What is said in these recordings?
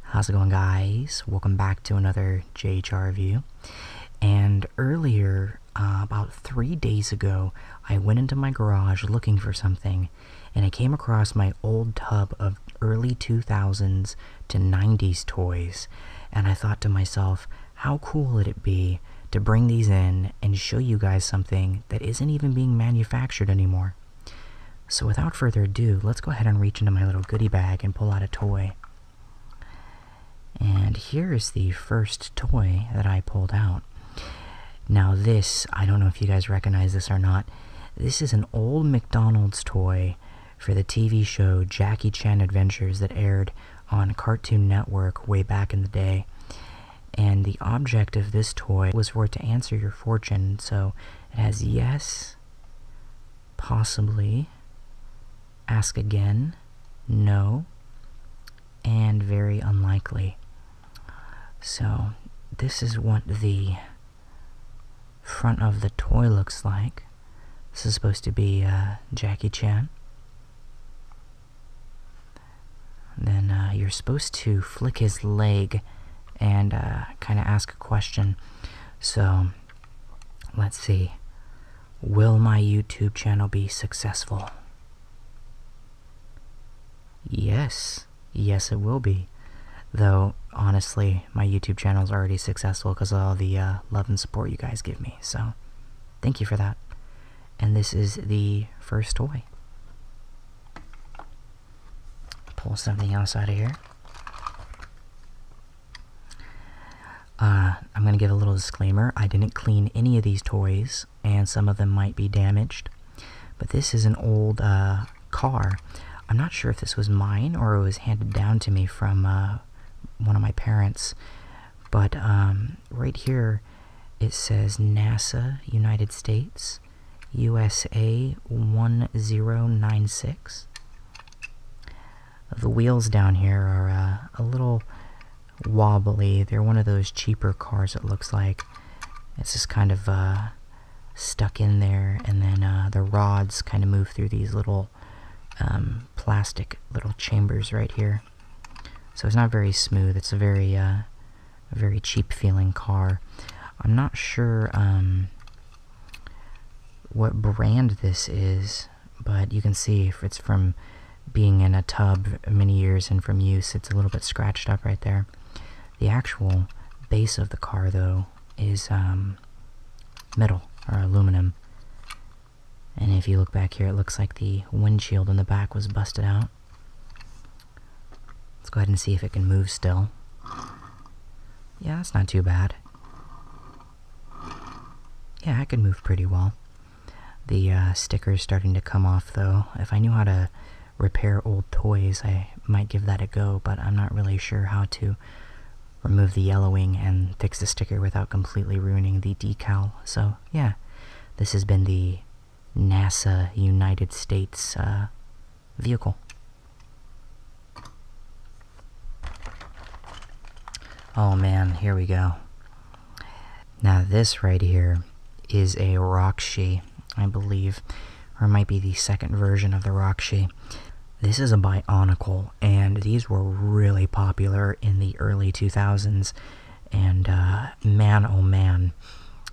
How's it going guys? Welcome back to another JHR review. And earlier, uh, about three days ago, I went into my garage looking for something and I came across my old tub of early 2000s to 90s toys. And I thought to myself, how cool would it be to bring these in and show you guys something that isn't even being manufactured anymore? So, without further ado, let's go ahead and reach into my little goodie bag and pull out a toy. And here is the first toy that I pulled out. Now, this, I don't know if you guys recognize this or not, this is an old McDonald's toy for the TV show Jackie Chan Adventures that aired on Cartoon Network way back in the day. And the object of this toy was for it to answer your fortune, so it has yes, possibly, ask again, no, and very unlikely. So, this is what the front of the toy looks like. This is supposed to be uh, Jackie Chan. then uh, you're supposed to flick his leg and uh, kind of ask a question. So, let's see. Will my YouTube channel be successful? Yes. Yes, it will be. Though, honestly, my YouTube channel is already successful because of all the uh, love and support you guys give me. So, thank you for that. And this is the first toy. Pull something else out of here. Uh, I'm going to give a little disclaimer. I didn't clean any of these toys, and some of them might be damaged. But this is an old uh, car. I'm not sure if this was mine or it was handed down to me from uh, one of my parents. But um, right here, it says NASA, United States. USA 1096. The wheels down here are uh, a little wobbly. They're one of those cheaper cars, it looks like. It's just kind of uh, stuck in there, and then uh, the rods kind of move through these little um, plastic little chambers right here. So it's not very smooth. It's a very, very cheap feeling car. I'm not sure um, what brand this is, but you can see if it's from being in a tub many years and from use, it's a little bit scratched up right there. The actual base of the car, though, is um, metal or aluminum. And if you look back here, it looks like the windshield in the back was busted out. Let's go ahead and see if it can move still. Yeah, it's not too bad. Yeah, I can move pretty well. The uh, sticker is starting to come off though. If I knew how to repair old toys, I might give that a go, but I'm not really sure how to remove the yellowing and fix the sticker without completely ruining the decal. So, yeah, this has been the NASA United States uh, vehicle. Oh man, here we go. Now this right here is a Roxy, I believe, or might be the second version of the Roxy. This is a Bionicle, and these were really popular in the early 2000s. And uh, man, oh man,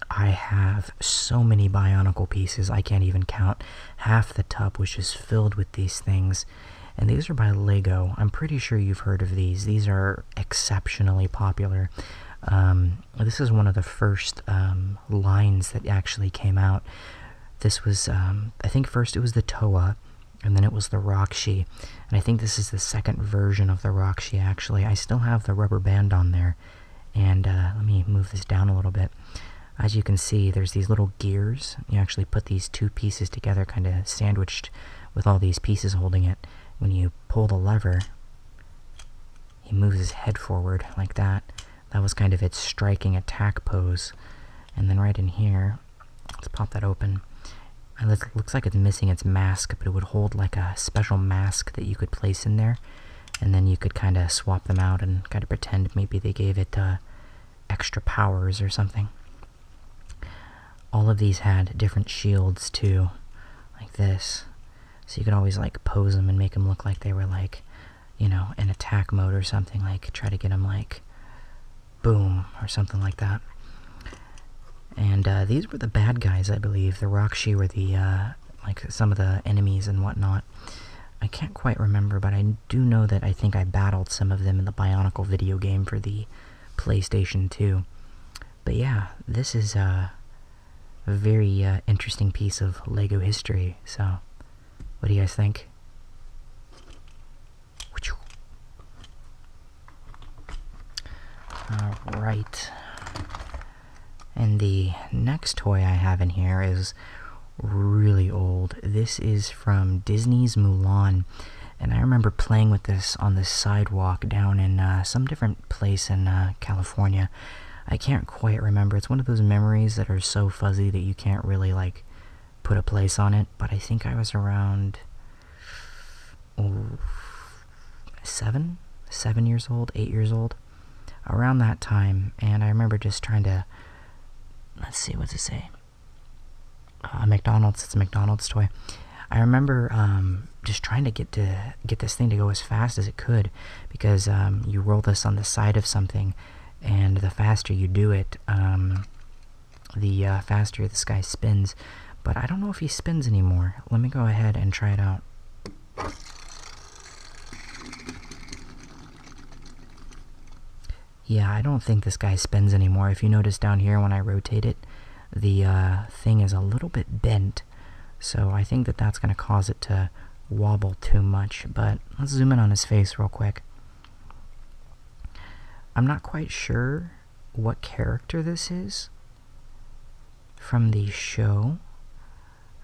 I have so many Bionicle pieces, I can't even count half the tub was just filled with these things. And these are by Lego. I'm pretty sure you've heard of these. These are exceptionally popular. Um, this is one of the first um, lines that actually came out. This was, um, I think, first it was the Toa, and then it was the Roxy. And I think this is the second version of the Roxy, actually. I still have the rubber band on there. And uh, let me move this down a little bit as you can see, there's these little gears. You actually put these two pieces together, kind of sandwiched with all these pieces holding it. When you pull the lever, he moves his head forward like that. That was kind of its striking attack pose. And then right in here, let's pop that open. It looks like it's missing its mask, but it would hold like a special mask that you could place in there and then you could kind of swap them out and kind of pretend maybe they gave it uh, extra powers or something. All of these had different shields too, like this. So you could always like pose them and make them look like they were like, you know, in attack mode or something, like try to get them like boom or something like that. And uh, these were the bad guys, I believe. The Rakshi were the, uh, like, some of the enemies and whatnot. I can't quite remember, but I do know that I think I battled some of them in the Bionicle video game for the PlayStation 2. But yeah, this is a very uh, interesting piece of LEGO history, so what do you guys think? Alright. And the next toy I have in here is really old. This is from Disney's Mulan, and I remember playing with this on the sidewalk down in uh, some different place in uh, California. I can't quite remember. It's one of those memories that are so fuzzy that you can't really like put a place on it. But I think I was around oh, seven, seven years old, eight years old, around that time, and I remember just trying to let's see what's it say uh, mcdonald's it's a mcdonald's toy i remember um, just trying to get to get this thing to go as fast as it could because um, you roll this on the side of something and the faster you do it um, the uh, faster this guy spins but i don't know if he spins anymore let me go ahead and try it out yeah, I don't think this guy spins anymore. If you notice down here when I rotate it, the uh, thing is a little bit bent. So I think that that's going to cause it to wobble too much. But let's zoom in on his face real quick. I'm not quite sure what character this is from the show,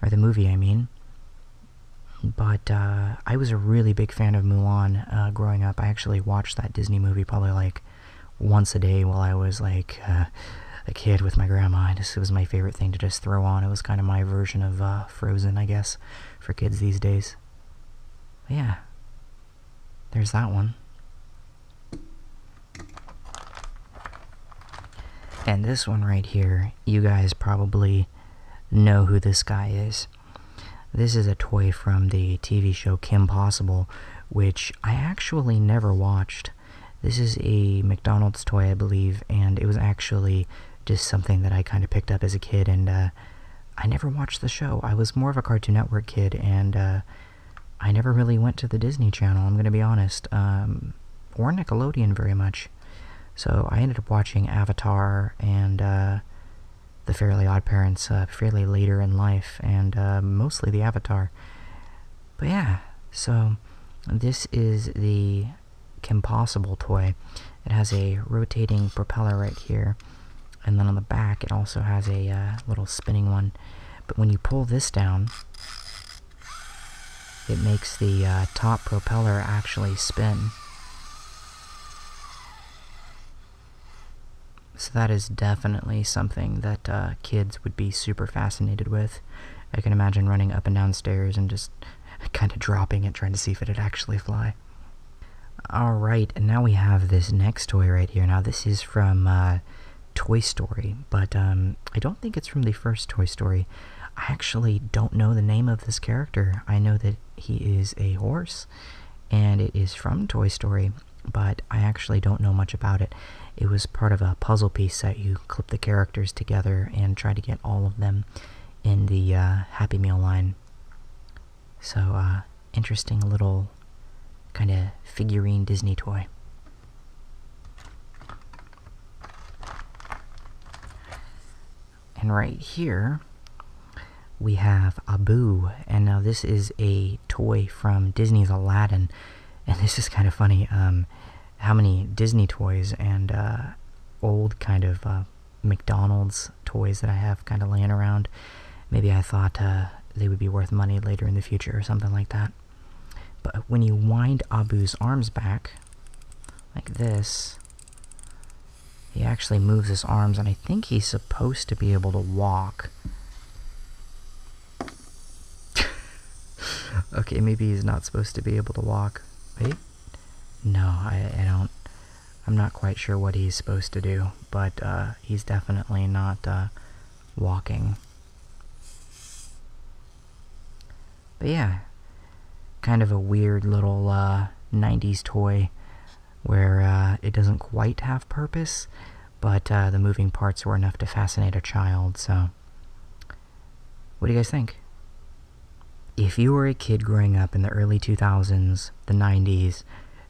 or the movie, I mean. But uh, I was a really big fan of Mulan uh, growing up. I actually watched that Disney movie probably like once a day while I was like uh, a kid with my grandma. Just, it was my favorite thing to just throw on. It was kind of my version of Frozen, I guess, for kids these days. yeah, there's that one. And this one right here, you guys probably know who this guy is. This is a toy from the TV show Kim Possible, which I actually never watched. This is a McDonald's toy, I believe, and it was actually just something that I kind of picked up as a kid, and uh, I never watched the show. I was more of a Cartoon Network kid, and uh, I never really went to the Disney Channel, I'm going to be honest, um, or Nickelodeon very much. So I ended up watching Avatar and uh, The Fairly Odd Parents uh, fairly later in life, and uh, mostly the Avatar. But yeah, so this is the Kim Possible toy. It has a rotating propeller right here, and then on the back it also has a little spinning one. But when you pull this down, it makes the top propeller actually spin. So that is definitely something that uh, kids would be super fascinated with. I can imagine running up and down stairs and just kind of dropping it, trying to see if it'd actually fly. Alright, and now we have this next toy right here. Now, this is from uh, Toy Story, but um, I don't think it's from the first Toy Story. I actually don't know the name of this character. I know that he is a horse, and it is from Toy Story, but I actually don't know much about it. It was part of a puzzle piece that you clip the characters together and try to get all of them in the uh, Happy Meal line. So, uh, interesting little kind of figurine Disney toy. And right here, we have Abu. And now this is a toy from Disney's Aladdin. And this is kind of funny um, how many Disney toys and uh, old kind of uh, McDonald's toys that I have kind of laying around. Maybe I thought uh, they would be worth money later in the future or something like that. But when you wind Abu's arms back, like this, he actually moves his arms, and I think he's supposed to be able to walk. okay, maybe he's not supposed to be able to walk. Wait? No, I, don't... I'm not quite sure what he's supposed to do, but uh, he's definitely not uh, walking. But yeah, kind of a weird little 90s uh, toy where uh, it doesn't quite have purpose, but uh, the moving parts were enough to fascinate a child, so. What do you guys think? If you were a kid growing up in the early 2000s, the 90s,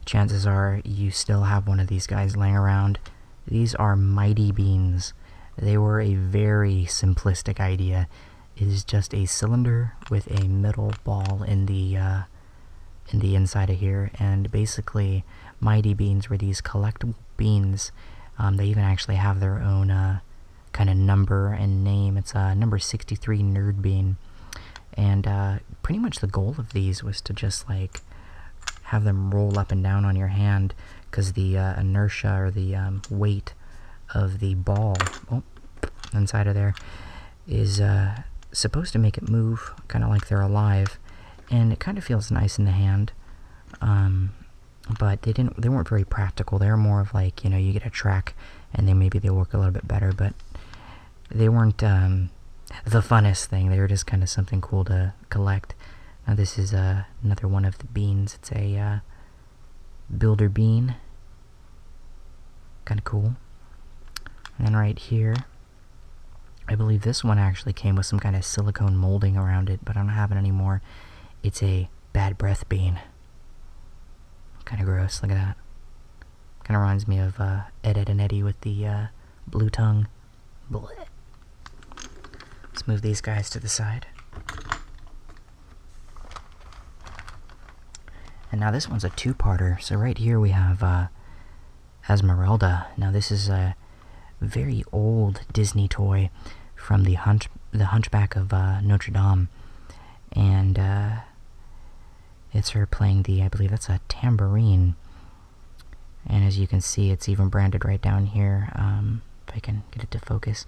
chances are you still have one of these guys laying around. These are Mighty Beans. They were a very simplistic idea is just a cylinder with a metal ball in the uh, in the inside of here, and basically mighty beans were these collectible beans. Um, they even actually have their own uh, kind of number and name. It's a uh, number 63 nerd bean, and pretty much the goal of these was to just like have them roll up and down on your hand because the inertia or the um, weight of the ball. Oh, inside of there is uh, supposed to make it move, kind of like they're alive, and it kind of feels nice in the hand. Um, but they didn't. They weren't very practical. They're more of like you know you get a track, and then maybe they work a little bit better. But they weren't um, the funnest thing. They were just kind of something cool to collect. Now this is uh, another one of the beans. It's a uh, builder bean. Kind of cool. And then right here, I believe this one actually came with some kind of silicone molding around it, but I don't have it anymore. It's a bad breath bean. Kind of gross, look at that. Kind of reminds me of uh, Ed, Ed, and Eddie with the uh, blue tongue. Let's move these guys to the side. And now this one's a two-parter. So right here we have uh, Esmeralda. Now this is a very old Disney toy from the hunch the Hunchback of uh, Notre Dame, and uh, it's her playing the I believe that's a tambourine. And as you can see, it's even branded right down here. Um, if I can get it to focus,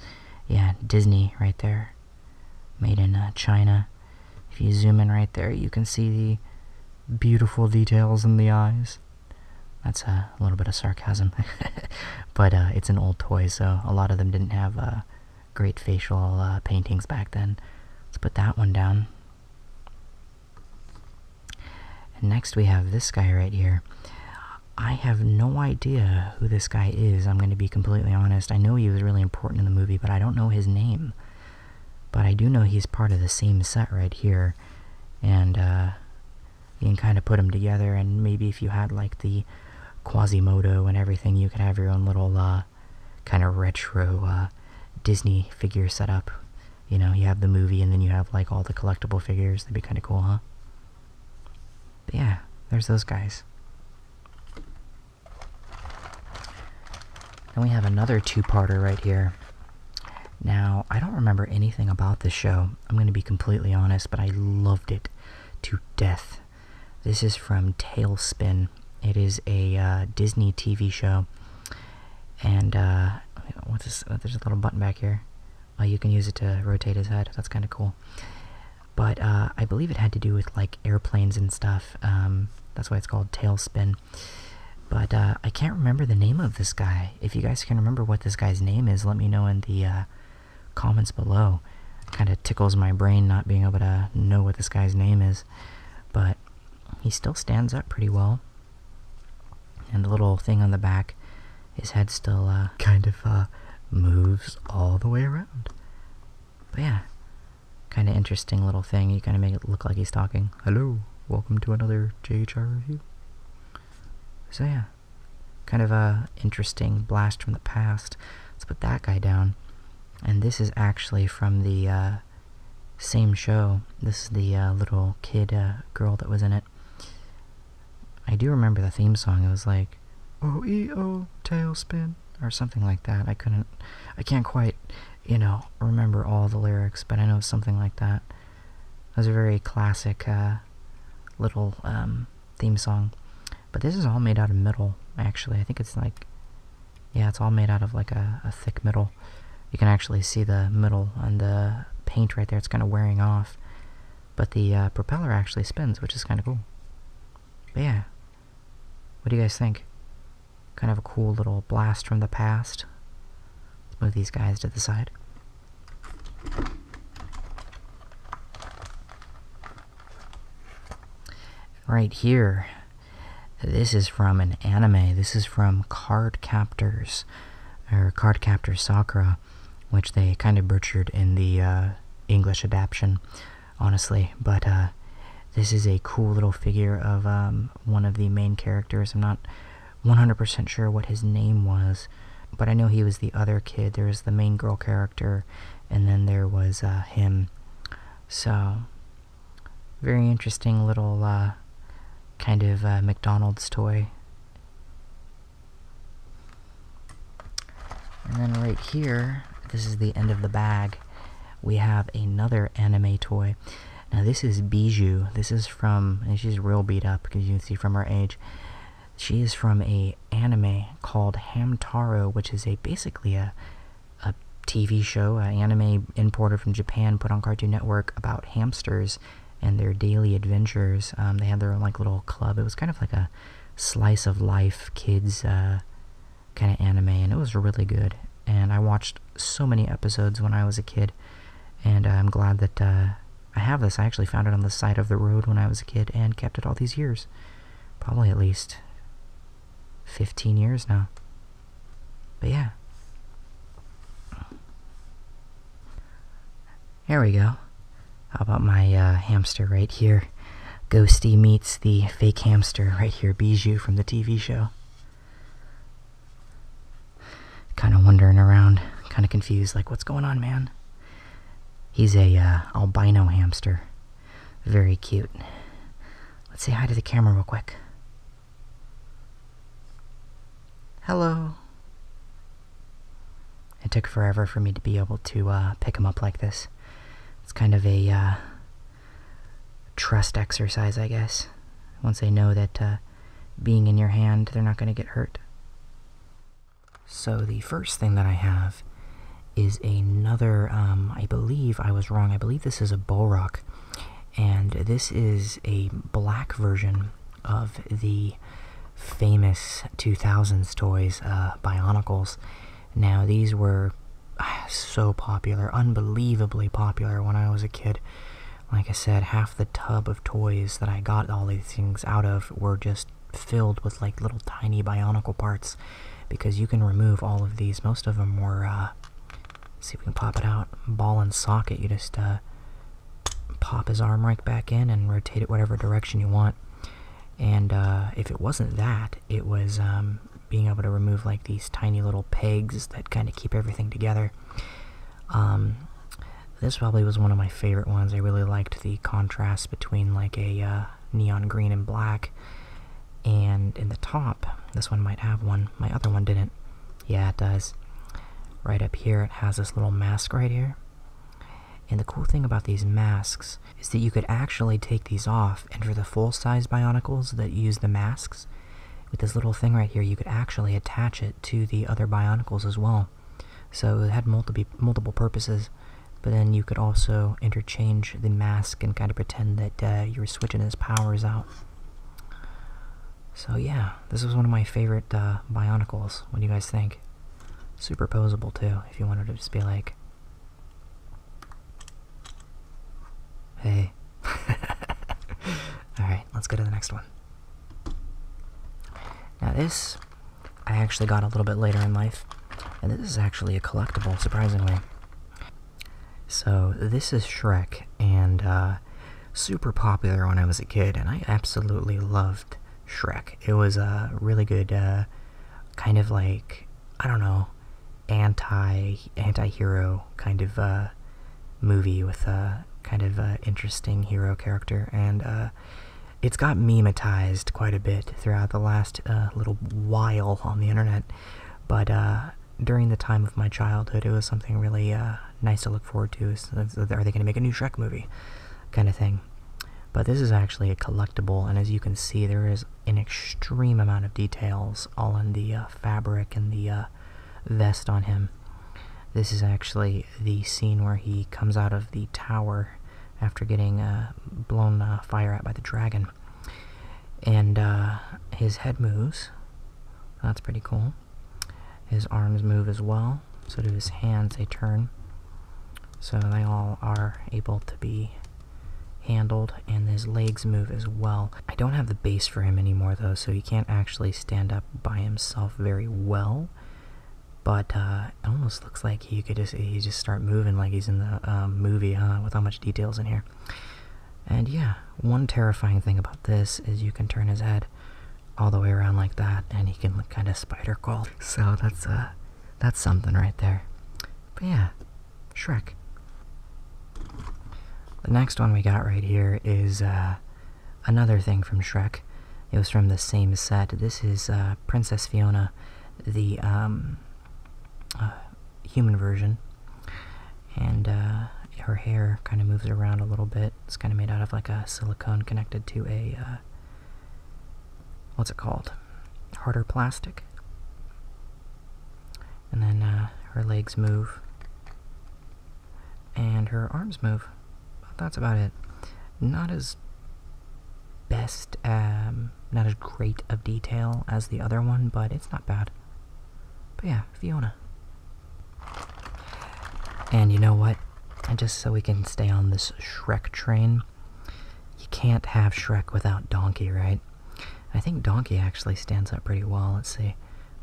yeah, Disney right there. Made in uh, China. If you zoom in right there, you can see the beautiful details in the eyes. That's uh, a little bit of sarcasm. but uh, it's an old toy, so a lot of them didn't have great facial paintings back then. Let's put that one down. next we have this guy right here. I have no idea who this guy is, I'm going to be completely honest. I know he was really important in the movie, but I don't know his name. But I do know he's part of the same set right here, and uh, you can kind of put them together. And maybe if you had like the Quasimodo and everything, you could have your own little uh, kind of retro uh, Disney figure set up. You know, you have the movie, and then you have like all the collectible figures. That'd be kind of cool, huh? But yeah, there's those guys. And we have another two-parter right here. Now, I don't remember anything about this show. I'm going to be completely honest, but I loved it to death. This is from Tailspin. It is a uh, Disney TV show. And, uh, There's a little button back here. Oh, you can use it to rotate his head. That's kind of cool but uh, I believe it had to do with like airplanes and stuff. Um, that's why it's called Tailspin. But uh, I can't remember the name of this guy. If you guys can remember what this guy's name is, let me know in the uh, comments below. Kind of tickles my brain not being able to know what this guy's name is. But he still stands up pretty well. And the little thing on the back, his head still kind of moves all the way around. But yeah, kind of interesting little thing. He kind of makes it look like he's talking. Hello, welcome to another JHR review. So yeah, kind of a interesting blast from the past. Let's put that guy down. And this is actually from the uh, same show. This is the uh, little kid uh, girl that was in it. I do remember the theme song. It was like O E O tailspin or something like that. I couldn't, I can't quite, you know, remember all the lyrics, but I know something like that. It was a very classic uh, little um, theme song. But this is all made out of metal, actually. I think it's like, yeah, it's all made out of like a, thick metal. You can actually see the metal on the paint right there. It's kind of wearing off. But the uh, propeller actually spins, which is kind of cool. But yeah, what do you guys think? Kind of a cool little blast from the past. Let's move these guys to the side. Right here, this is from an anime. This is from Card Captors, or Card Captor Sakura, which they kind of butchered in the uh, English adaptation honestly. But uh, this is a cool little figure of um, one of the main characters. I'm not 100% sure what his name was, but I know he was the other kid. There was the main girl character, and then there was uh, him. So, very interesting little uh, kind of McDonald's toy. And then right here, this is the end of the bag, we have another anime toy. Now this is Bijou. This is from, and she's real beat up because you can see from her age. She is from a anime called Hamtaro, which is a basically a a TV show, an anime imported from Japan, put on Cartoon Network about hamsters and their daily adventures. Um, they had their own like little club. It was kind of like a slice of life kids uh, kind of anime, and it was really good. And I watched so many episodes when I was a kid, and I'm glad that uh, I have this. I actually found it on the side of the road when I was a kid and kept it all these years. Probably at least 15 years now. But yeah. There we go. How about my uh, hamster right here? Ghosty meets the fake hamster right here, Bijou from the TV show. Kind of wandering around, kind of confused, like, what's going on, man? He's a uh, albino hamster. Very cute. Let's say hi to the camera real quick. Hello. It took forever for me to be able to uh, pick him up like this. It's kind of a uh, trust exercise, I guess, once they know that uh, being in your hand, they're not going to get hurt. So, the first thing that I have is another, um, I believe I was wrong, I believe this is a Bolrock, and this is a black version of the famous 2000s toys, uh, Bionicles. Now, these were so popular, unbelievably popular when I was a kid. Like I said, half the tub of toys that I got all these things out of were just filled with like little tiny bionicle parts because you can remove all of these. Most of them were, uh, see if we can pop it out, ball and socket. You just uh, pop his arm right back in and rotate it whatever direction you want. And uh, if it wasn't that, it was um, being able to remove like these tiny little pegs that kind of keep everything together. Um, this probably was one of my favorite ones. I really liked the contrast between like a uh, neon green and black. And in the top, this one might have one. My other one didn't. Yeah, it does. Right up here, it has this little mask right here. And the cool thing about these masks is that you could actually take these off, and for the full size Bionicles that use the masks, with this little thing right here, you could actually attach it to the other Bionicles as well. So it had multiple multiple purposes, but then you could also interchange the mask and kind of pretend that uh, you were switching his powers out. So yeah, this was one of my favorite uh, Bionicles. What do you guys think? Superposable too, if you wanted to just be like, Hey. Alright, let's go to the next one. Now, this I actually got a little bit later in life, and this is actually a collectible, surprisingly. So, this is Shrek, and uh, super popular when I was a kid, and I absolutely loved Shrek. It was a really good, uh, kind of like I don't know, anti anti hero kind of uh, movie with a kind of uh, interesting hero character, and uh, it's got memetized quite a bit throughout the last little while on the internet. But during the time of my childhood, it was something really nice to look forward to. are they going to make a new Shrek movie, kind of thing? But this is actually a collectible, and as you can see, there is an extreme amount of details all in the uh, fabric and the uh, vest on him. This is actually the scene where he comes out of the tower after getting uh, blown fire at by the dragon. And his head moves. That's pretty cool. His arms move as well. So do his hands, they turn. So they all are able to be handled and his legs move as well. I don't have the base for him anymore though, so he can't actually stand up by himself very well. But uh, it almost looks like he could just he just start moving like he's in the uh, movie, huh? With how much details in here. And yeah, one terrifying thing about this is you can turn his head all the way around like that, and he can kind of spider crawl. So that's uh, that's something right there. But yeah, Shrek. The next one we got right here is uh, another thing from Shrek. It was from the same set. This is uh, Princess Fiona, the um, uh, human version. And her hair kind of moves around a little bit. It's kind of made out of like a silicone connected to a, what's it called? Harder plastic. And then uh, her legs move. And her arms move. But that's about it. Not as best, um, not as great of detail as the other one, but it's not bad. But yeah, Fiona. And you know what? And just so we can stay on this Shrek train, you can't have Shrek without Donkey, right? I think donkey actually stands up pretty well. Let's see.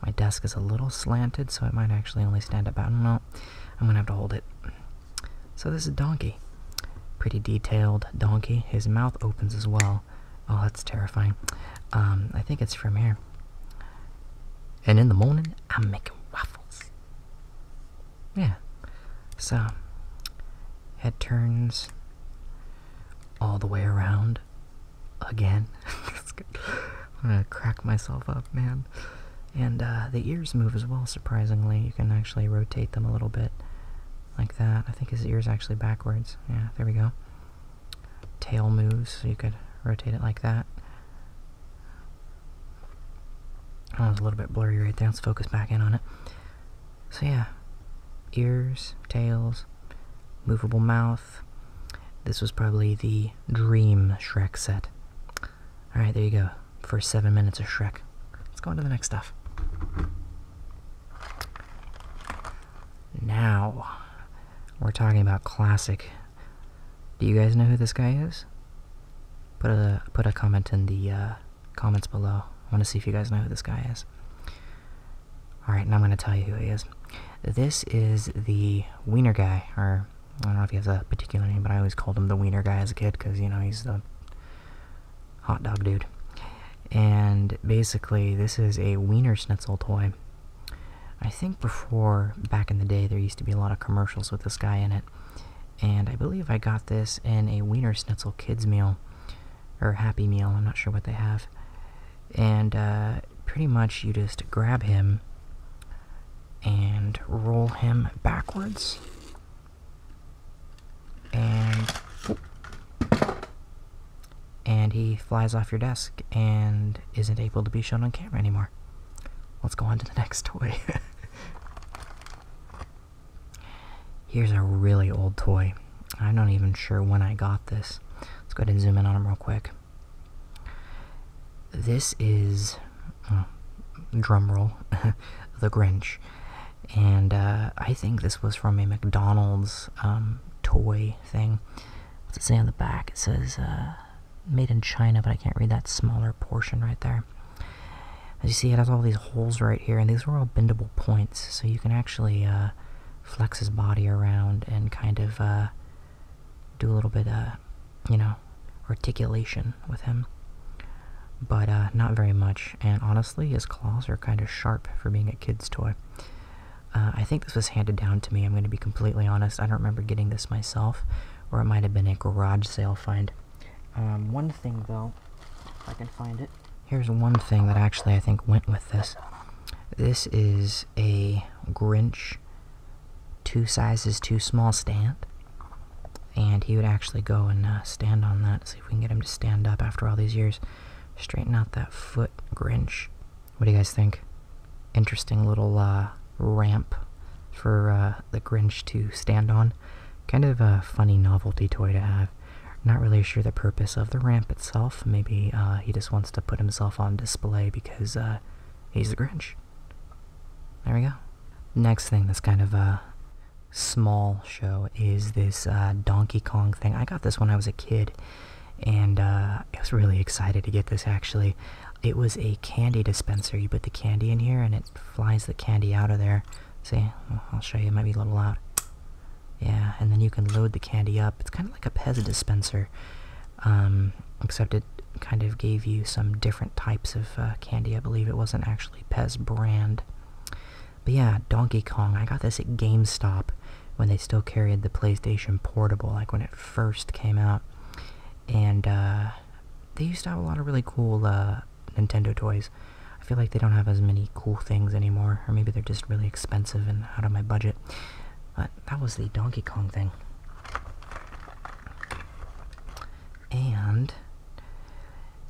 My desk is a little slanted, so it might actually only stand up. I don't know. I'm gonna have to hold it. So this is donkey. Pretty detailed donkey. His mouth opens as well. Oh, that's terrifying. Um, I think it's from here. And in the morning, I'm making waffles. Yeah. So, head turns all the way around again. I'm gonna crack myself up, man. And uh, the ears move as well, surprisingly. You can actually rotate them a little bit like that. I think his ear's actually backwards. Yeah, there we go. Tail moves, so you could rotate it like that. That was a little bit blurry right there. Let's focus back in on it. So yeah, ears, tails, movable mouth. This was probably the dream Shrek set. All right, there you go. for seven minutes of Shrek. Let's go on to the next stuff. Now, we're talking about classic. Do you guys know who this guy is? Put a put a comment in the uh, comments below. I want to see if you guys know who this guy is. Alright, now I'm going to tell you who he is. This is the Wiener guy, or I don't know if he has a particular name, but I always called him the Wiener guy as a kid because, you know, he's the hot dog dude. And basically, this is a Wiener Schnitzel toy. I think before, back in the day, there used to be a lot of commercials with this guy in it. And I believe I got this in a Wiener Schnitzel kids meal or Happy Meal, I'm not sure what they have. And uh, pretty much you just grab him and roll him backwards. And and he flies off your desk and isn't able to be shown on camera anymore. Let's go on to the next toy. Here's a really old toy. I'm not even sure when I got this. Let's go ahead and zoom in on him real quick. This is, oh, drum roll, the Grinch. And uh, I think this was from a McDonald's um, toy thing. What's it say on the back? It says uh, made in China, but I can't read that smaller portion right there. As you see, it has all these holes right here, and these are all bendable points, so you can actually uh, flex his body around and kind of uh, do a little bit, uh, you know, articulation with him. But uh, not very much, and honestly, his claws are kind of sharp for being a kid's toy. I think this was handed down to me, I'm going to be completely honest. I don't remember getting this myself, or it might have been a garage sale find. Um, one thing, though, if I can find it here's one thing that actually I think went with this. This is a Grinch two sizes too small stand. And he would actually go and uh, stand on that. See if we can get him to stand up after all these years. Straighten out that foot, Grinch. What do you guys think? Interesting little uh, ramp for uh, the Grinch to stand on. Kind of a funny novelty toy to have. Not really sure the purpose of the ramp itself. Maybe uh, he just wants to put himself on display because uh, he's the Grinch. There we go. Next thing that's kind of a small show is this uh, Donkey Kong thing. I got this when I was a kid, and I was really excited to get this actually. It was a candy dispenser. You put the candy in here, and it flies the candy out of there. See, I'll show you. It might be a little loud. Yeah, and then you can load the candy up. It's kind of like a Pez dispenser, um, except it kind of gave you some different types of uh, candy. I believe it wasn't actually Pez brand. But yeah, Donkey Kong. I got this at GameStop when they still carried the PlayStation Portable, like when it first came out. And uh, they used to have a lot of really cool uh, Nintendo toys. I feel like they don't have as many cool things anymore, or maybe they're just really expensive and out of my budget. But that was the Donkey Kong thing. And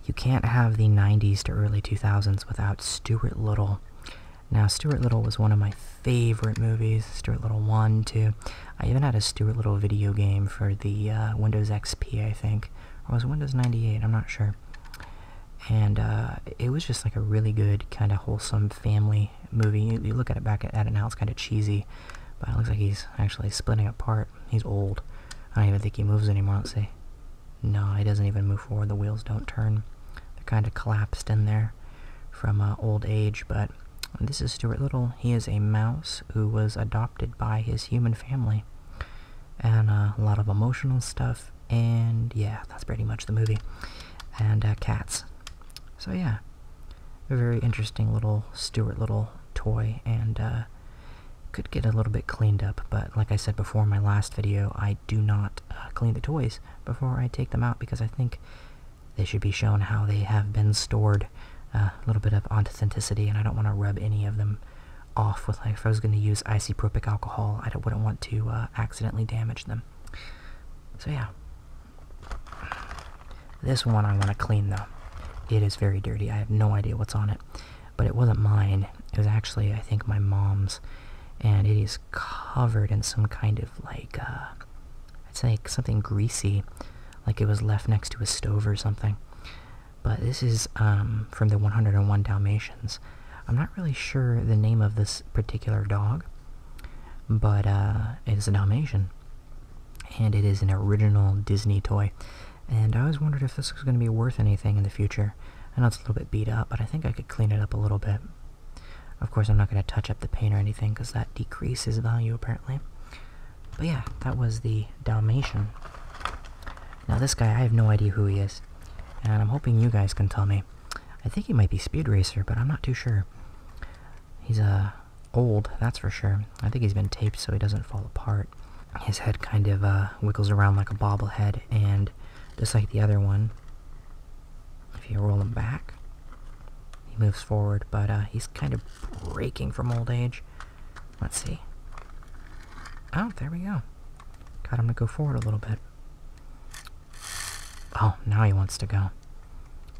you can't have the 90s to early 2000s without Stuart Little. Now, Stuart Little was one of my favorite movies. Stuart Little 1, 2. I even had a Stuart Little video game for the uh, Windows XP, I think. Or was Windows 98? I'm not sure and uh, it was just like a really good kind of wholesome family movie. You, look at it back at, it now; it's kind of cheesy, but it looks like he's actually splitting apart. He's old. I don't even think he moves anymore. Let's see. No, he doesn't even move forward. The wheels don't turn. They're kind of collapsed in there from uh, old age. But this is Stuart Little. He is a mouse who was adopted by his human family, and uh, a lot of emotional stuff and yeah, that's pretty much the movie. And uh, cats. So yeah, a very interesting little Stuart Little toy, and uh, could get a little bit cleaned up. But like I said before in my last video, I do not uh, clean the toys before I take them out because I think they should be shown how they have been stored. A little bit of authenticity, and I don't want to rub any of them off with like if I was going to use isopropyl alcohol, I wouldn't want to. Uh, accidentally damage them. So yeah. This one I want to clean though. It is very dirty. I have no idea what's on it. But it wasn't mine. It was actually, I think, my mom's. And it is covered in some kind of like, uh, it's like something greasy. Like it was left next to a stove or something. But this is um, from the 101 Dalmatians. I'm not really sure the name of this particular dog, but uh, it is a Dalmatian, and it is an original Disney toy. And I always wondered if this was going to be worth anything in the future. I know it's a little bit beat up, but I think I could clean it up a little bit. Of course, I'm not going to touch up the paint or anything because that decreases value apparently. But yeah, that was the Dalmatian. Now this guy, I have no idea who he is, and I'm hoping you guys can tell me. I think he might be Speed Racer, but I'm not too sure. He's uh, old, that's for sure. I think he's been taped so he doesn't fall apart. His head kind of uh, wiggles around like a bobblehead, and just like the other one, if you roll him back, he moves forward, but uh, he's kind of breaking from old age. Let's see. Oh, there we go. Got him to go forward a little bit. Oh, now he wants to go.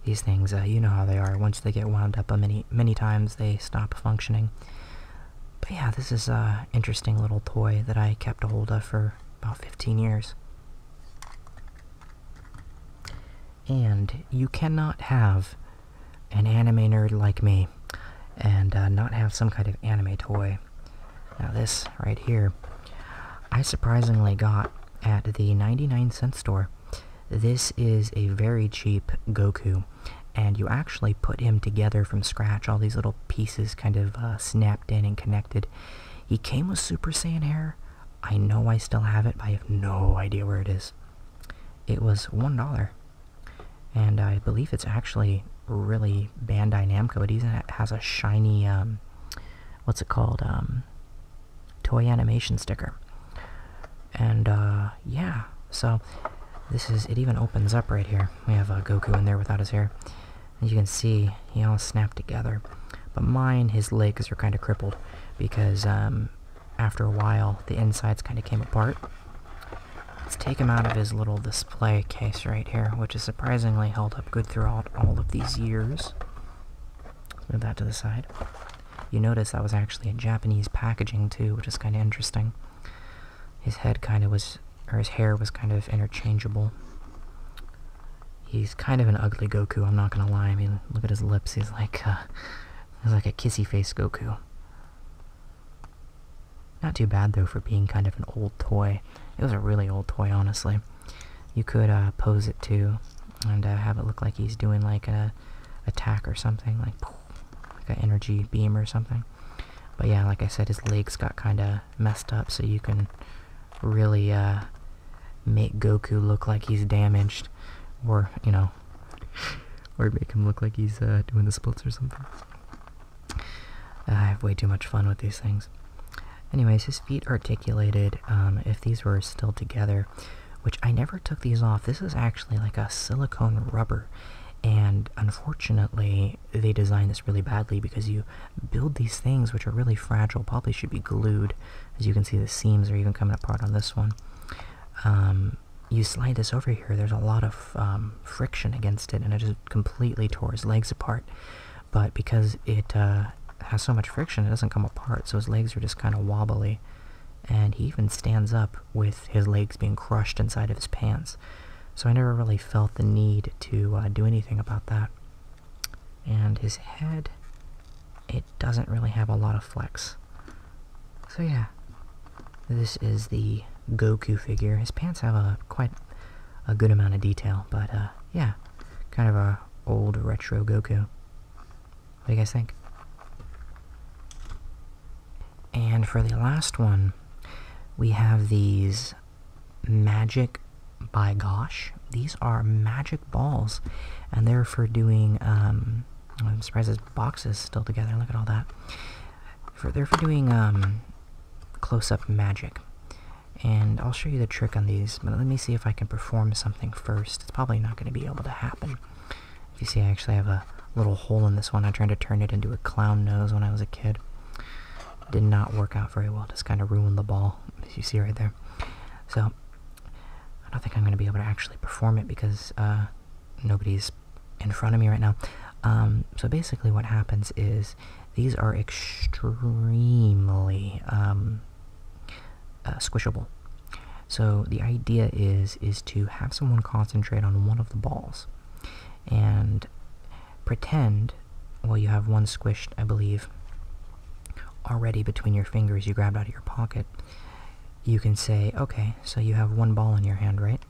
These things, uh, you know how they are. Once they get wound up a uh, many, many times, they stop functioning. But yeah, this is a uh, interesting little toy that I kept a hold of for about 15 years. And you cannot have an anime nerd like me and not have some kind of anime toy. Now this right here, I surprisingly got at the 99 cent store. This is a very cheap Goku, and you actually put him together from scratch, all these little pieces kind of uh, snapped in and connected. He came with Super Saiyan hair. I know I still have it, but I have no idea where it is. It was $1, and I believe it's actually really Bandai Namco. It even has a shiny um, what's it called? Um, toy animation sticker. And uh, yeah, so this is it. Even opens up right here. We have uh, Goku in there without his hair. As you can see, he all snapped together. But mine, his legs are kind of crippled because um, after a while, the insides kind of came apart. Let's take him out of his little the Play case right here, which is surprisingly held up good throughout all of these years. move that to the side. You notice that was actually a Japanese packaging too, which is kind of interesting. His head kind of was, or his hair was kind of interchangeable. He's kind of an ugly Goku, I'm not gonna lie. I mean, look at his lips, he's like, uh, he's like a kissy face Goku. Not too bad though for being kind of an old toy. It was a really old toy, honestly. You could uh, pose it too, and uh, have it look like he's doing like a attack or something, like a energy beam or something. But yeah, like I said, his legs got kind of messed up, so you can really uh, make Goku look like he's damaged, or you know, or make him look like he's doing the splits or something. I have way too much fun with these things. Anyways, his feet articulated. Um, if these were still together, which I never took these off. This is actually like a silicone rubber, and unfortunately, they designed this really badly because you build these things which are really fragile. Probably should be glued. As you can see, the seams are even coming apart on this one. Um, you slide this over here, there's a lot of um, friction against it, and it just completely tore his legs apart but because it uh, has so much friction, it doesn't come apart, so his legs are just kind of wobbly. And he even stands up with his legs being crushed inside of his pants. So I never really felt the need to uh, do anything about that. And his head, it doesn't really have a lot of flex. So yeah, this is the Goku figure. His pants have a quite a good amount of detail, but uh, yeah, Kind of a old retro Goku. What do you guys think? And for the last one, we have these magic by gosh. These are magic balls, and they're for doing. Um, I'm surprised this box is still together. Look at all that. For, they're for doing um, close-up magic, and I'll show you the trick on these, but let me see if I can perform something first. It's probably not going to be able to happen. If you see, I actually have a little hole in this one. I tried to turn it into a clown nose when I was a kid. Did not work out very well. Just kind of ruined the ball, as you see right there. So, I don't think I'm going to be able to actually perform it because uh, nobody's in front of me right now. Um, so basically what happens is these. are extremely um, uh, squishable. So the idea is is to have someone concentrate on one of the balls, and pretend, well, you have one squished, I believe, already between your fingers you grabbed out of your pocket. You can say, okay, so you have one ball in your hand, right?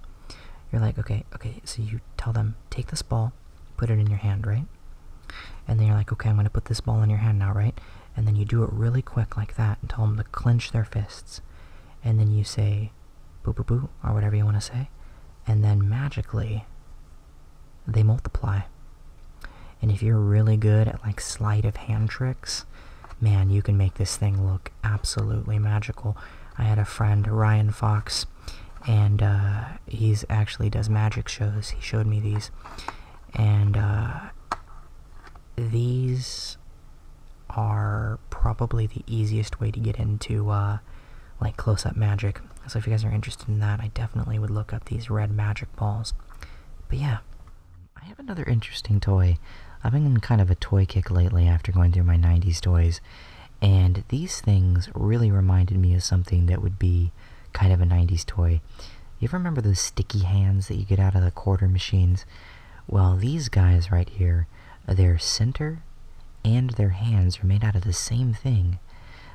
You're like, okay, okay, so you tell them, take this ball, put it in your hand, right? And then you're like, okay, I'm going to put this ball in your hand now, right? And then you do it really quick like that and tell them to clench their fists. And then you say, boo boo boo, or whatever you want to say. And then magically, they multiply. And if you're really good at like sleight of hand tricks, man, you can make this thing look absolutely magical. I had a friend, Ryan Fox, and uh, he's actually does magic shows. He showed me these, and uh, these are probably the easiest way to get into uh, like close-up magic. So if you guys are interested in that, I definitely would look up these red magic balls. But yeah, I have another interesting toy. I've been in kind of a toy kick lately after going through my '90s toys. And these things really reminded me of something that would be kind of a 90s toy. You ever remember those sticky hands that you get out of the quarter machines? Well, these guys right here, their center and their hands are made out of the same thing.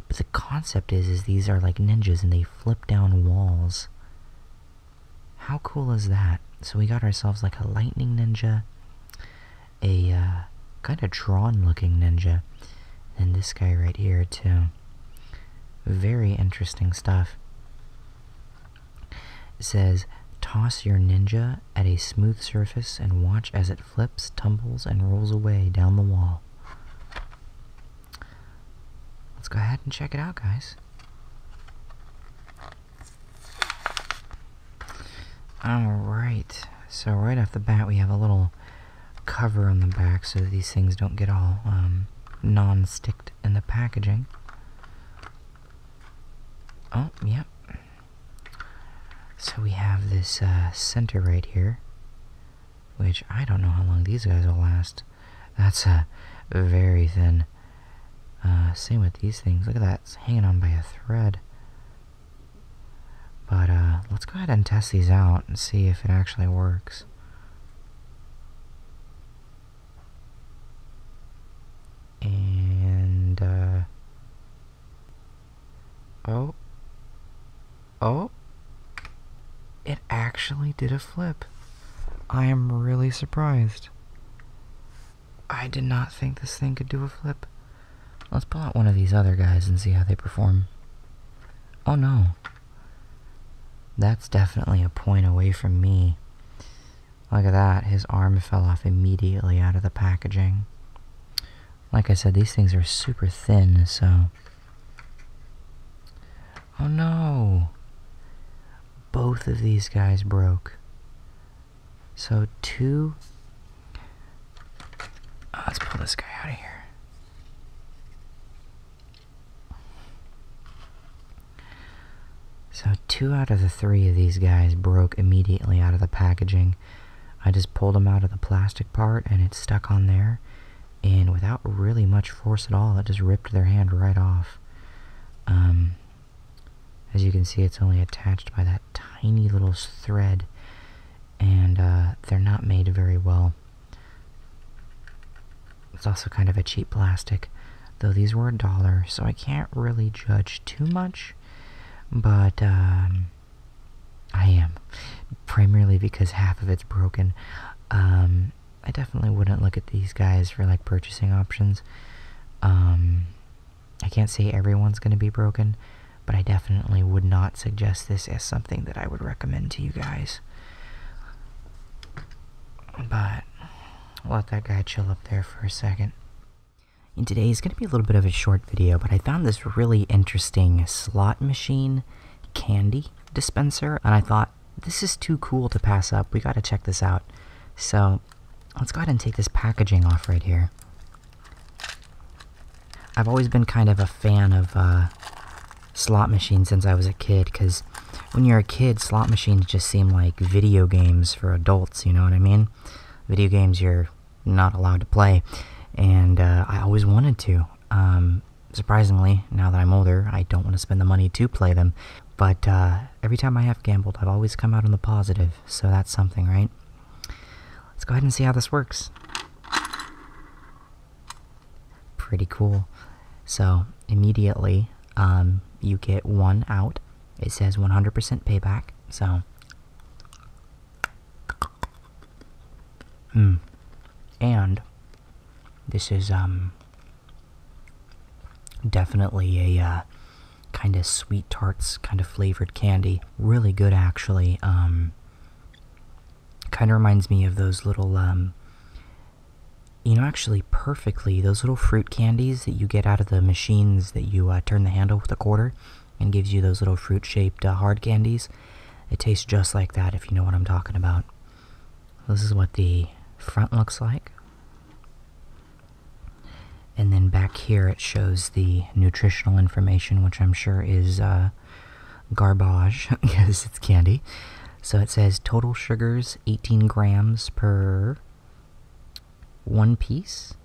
But the concept is, is these are like ninjas and they flip down walls. How cool is that? So we got ourselves like a lightning ninja, a uh, kind of drawn looking ninja, and this guy right here too. Very interesting stuff. It says, toss your ninja at a smooth surface and watch as it flips, tumbles, and rolls away down the wall. Let's go ahead and check it out, guys. Alright, so right off the bat we have a little cover on the back so that these things don't get all um, non-sticked in the packaging. Oh, yep. So we have this uh, center right here, which I don't know how long these guys will last. That's a very thin. Uh, same with these things. Look at that. It's hanging on by a thread. But uh, let's go ahead and test these out and see if it actually works. And, uh, oh, oh, it actually did a flip. I am really surprised. I did not think this thing could do a flip. Let's pull out one of these other guys and see how they perform. Oh no. That's definitely a point away from me. Look at that, his arm fell off immediately out of the packaging. Like I said, these things are super thin, so... Oh no! Both of these guys broke. So 2 Oh, let's pull this guy out of here. So two out of the three of these guys broke immediately out of the packaging. I just pulled them out of the plastic part and it stuck on there. And without really much force at all, it just ripped their hand right off. Um, as you can see, it's only attached by that tiny little thread. And uh, they're not made very well. It's also kind of a cheap plastic, though these were a dollar, so I can't really judge too much. But um, I am, primarily because half of it's broken. Um, I definitely wouldn't look at these guys for like purchasing options. Um, I can't say everyone's going to be broken, but I definitely would not suggest this as something that I would recommend to you guys. But let that guy chill up there for a second. And today is going to be a little bit of a short video, but I found this really interesting slot machine candy dispenser, and I thought, this is too cool to pass up. We got to check this out. So let's go ahead and take this packaging off right here. I've always been kind of a fan of uh, slot machines since I was a kid, because when you're a kid, slot machines just seem like video games for adults, you know what I mean? Video games you're not allowed to play, and uh, I always wanted to. Um, surprisingly, now that I'm older, I don't want to spend the money to play them, but uh, every time I have gambled, I've always come out on the positive, so that's something, right? Let's go ahead and see how this works. Pretty cool. So immediately, um, you get one out. It says 100% payback. So, hmm. and this is um definitely a uh, kind of sweet tarts kind of flavored candy. Really good, actually. Um, Kind of reminds me of those little, um, you know, actually perfectly, those little fruit candies that you get out of the machines that you uh, turn the handle with a quarter and gives you those little fruit shaped uh, hard candies. It tastes just like that if you know what I'm talking about. This is what the front looks like. And then back here it shows the nutritional information, which I'm sure is uh, garbage because it's candy. So it says total sugars 18 grams per one piece.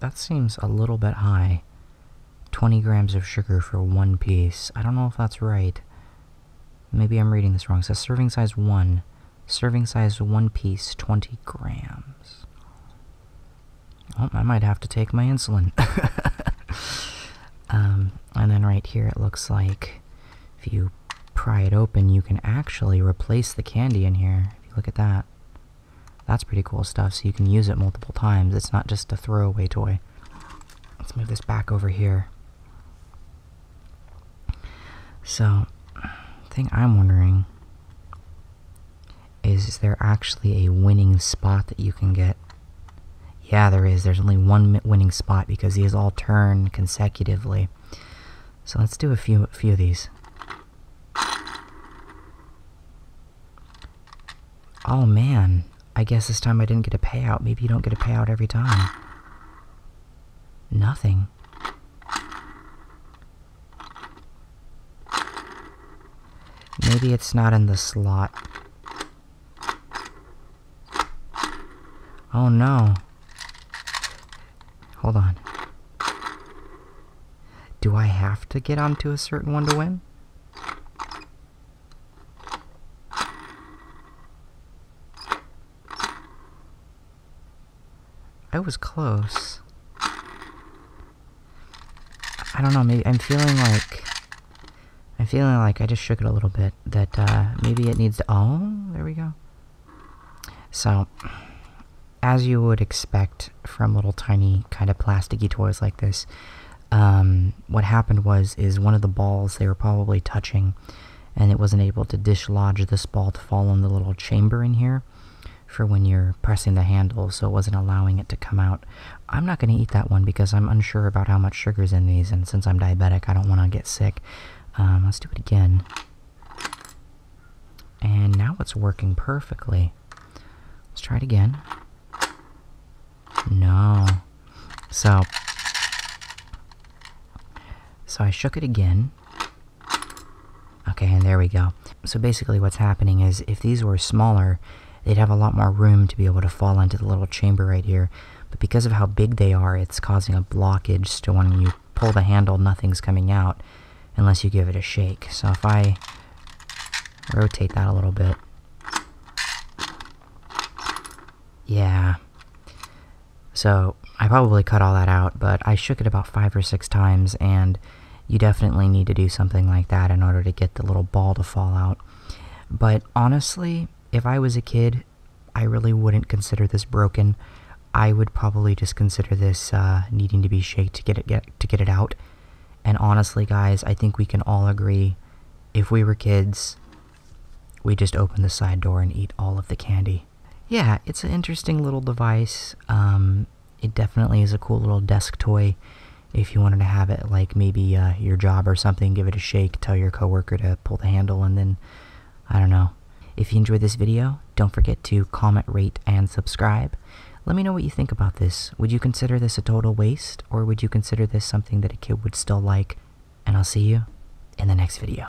That seems a little bit high. 20 grams of sugar for one piece. I don't know if that's right. Maybe I'm reading this wrong. It says serving size 1. Serving size 1 piece, 20 grams. Oh, I might have to take my insulin. Um, and then right here, it looks like if you pry it open, you can actually replace the candy in here. If you look at that, that's pretty cool stuff. So you can use it multiple times. It's not just a throwaway toy. Let's move this back over here. So, thing I'm wondering is, there actually a winning spot that you can get? Yeah, there is. There's only one winning spot because these all turn consecutively. So let's do a few, a few of these. Oh man, I guess this time I didn't get a payout. Maybe you don't get a payout every time. Nothing. Maybe it's not in the slot. Oh no. Hold on. Do I have to get onto a certain one to win? I was close. I don't know, maybe I'm feeling like, I'm feeling like I just shook it a little bit, that uh, maybe it needs to, oh, there we go. So, as you would expect from little tiny kind of plasticky toys like this, um, what happened was, is one of the balls they were probably touching, and it wasn't able to dislodge this ball to fall in the little chamber in here for when you're pressing the handle, so it wasn't allowing it to come out. I'm not going to eat that one because I'm unsure about how much sugar's in these, and since I'm diabetic, I don't want to get sick. Um, let's do it again. And now it's working perfectly. Let's try it again. No. So, so I shook it again. Okay, and there we go. So basically what's happening is if these were smaller, they'd have a lot more room to be able to fall into the little chamber right here. But because of how big they are, it's causing a blockage, so when you pull the handle, nothing's coming out unless you give it a shake. So if I rotate that a little bit, yeah. So I probably cut all that out, but I shook it about five or six times, and you definitely need to do something like that in order to get the little ball to fall out. But honestly, if I was a kid, I really wouldn't consider this broken. I would probably just consider this uh, needing to be shaken to get it to get it out. And honestly, guys, I think we can all agree, if we were kids, we just open the side door and eat all of the candy. Yeah, it's an interesting little device. Um, it definitely is a cool little desk toy. If you wanted to have it like maybe uh, your job or something, give it a shake, tell your coworker to pull the handle, and then I don't know. If you enjoyed this video, don't forget to comment, rate, and subscribe. Let me know what you think about this. Would you consider this a total waste, or would you consider this something that a kid would still like? And I'll see you in the next video.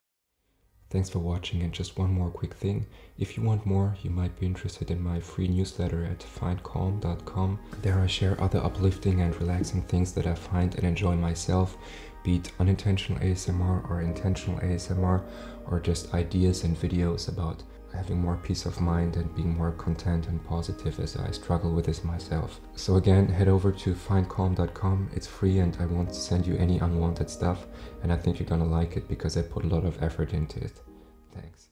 Thanks for watching and just one more quick thing. If you want more, you might be interested in my free newsletter at findcalm.com there I share other uplifting and relaxing things that I find and enjoy myself, be it unintentional ASMR or intentional ASMR or just ideas and videos about having more peace of mind and being more content and positive as I struggle with this myself. So again, head over to findcalm.com. It's free and I won't send you any unwanted stuff and I think you're gonna like it because I put a lot of effort into it. Thanks.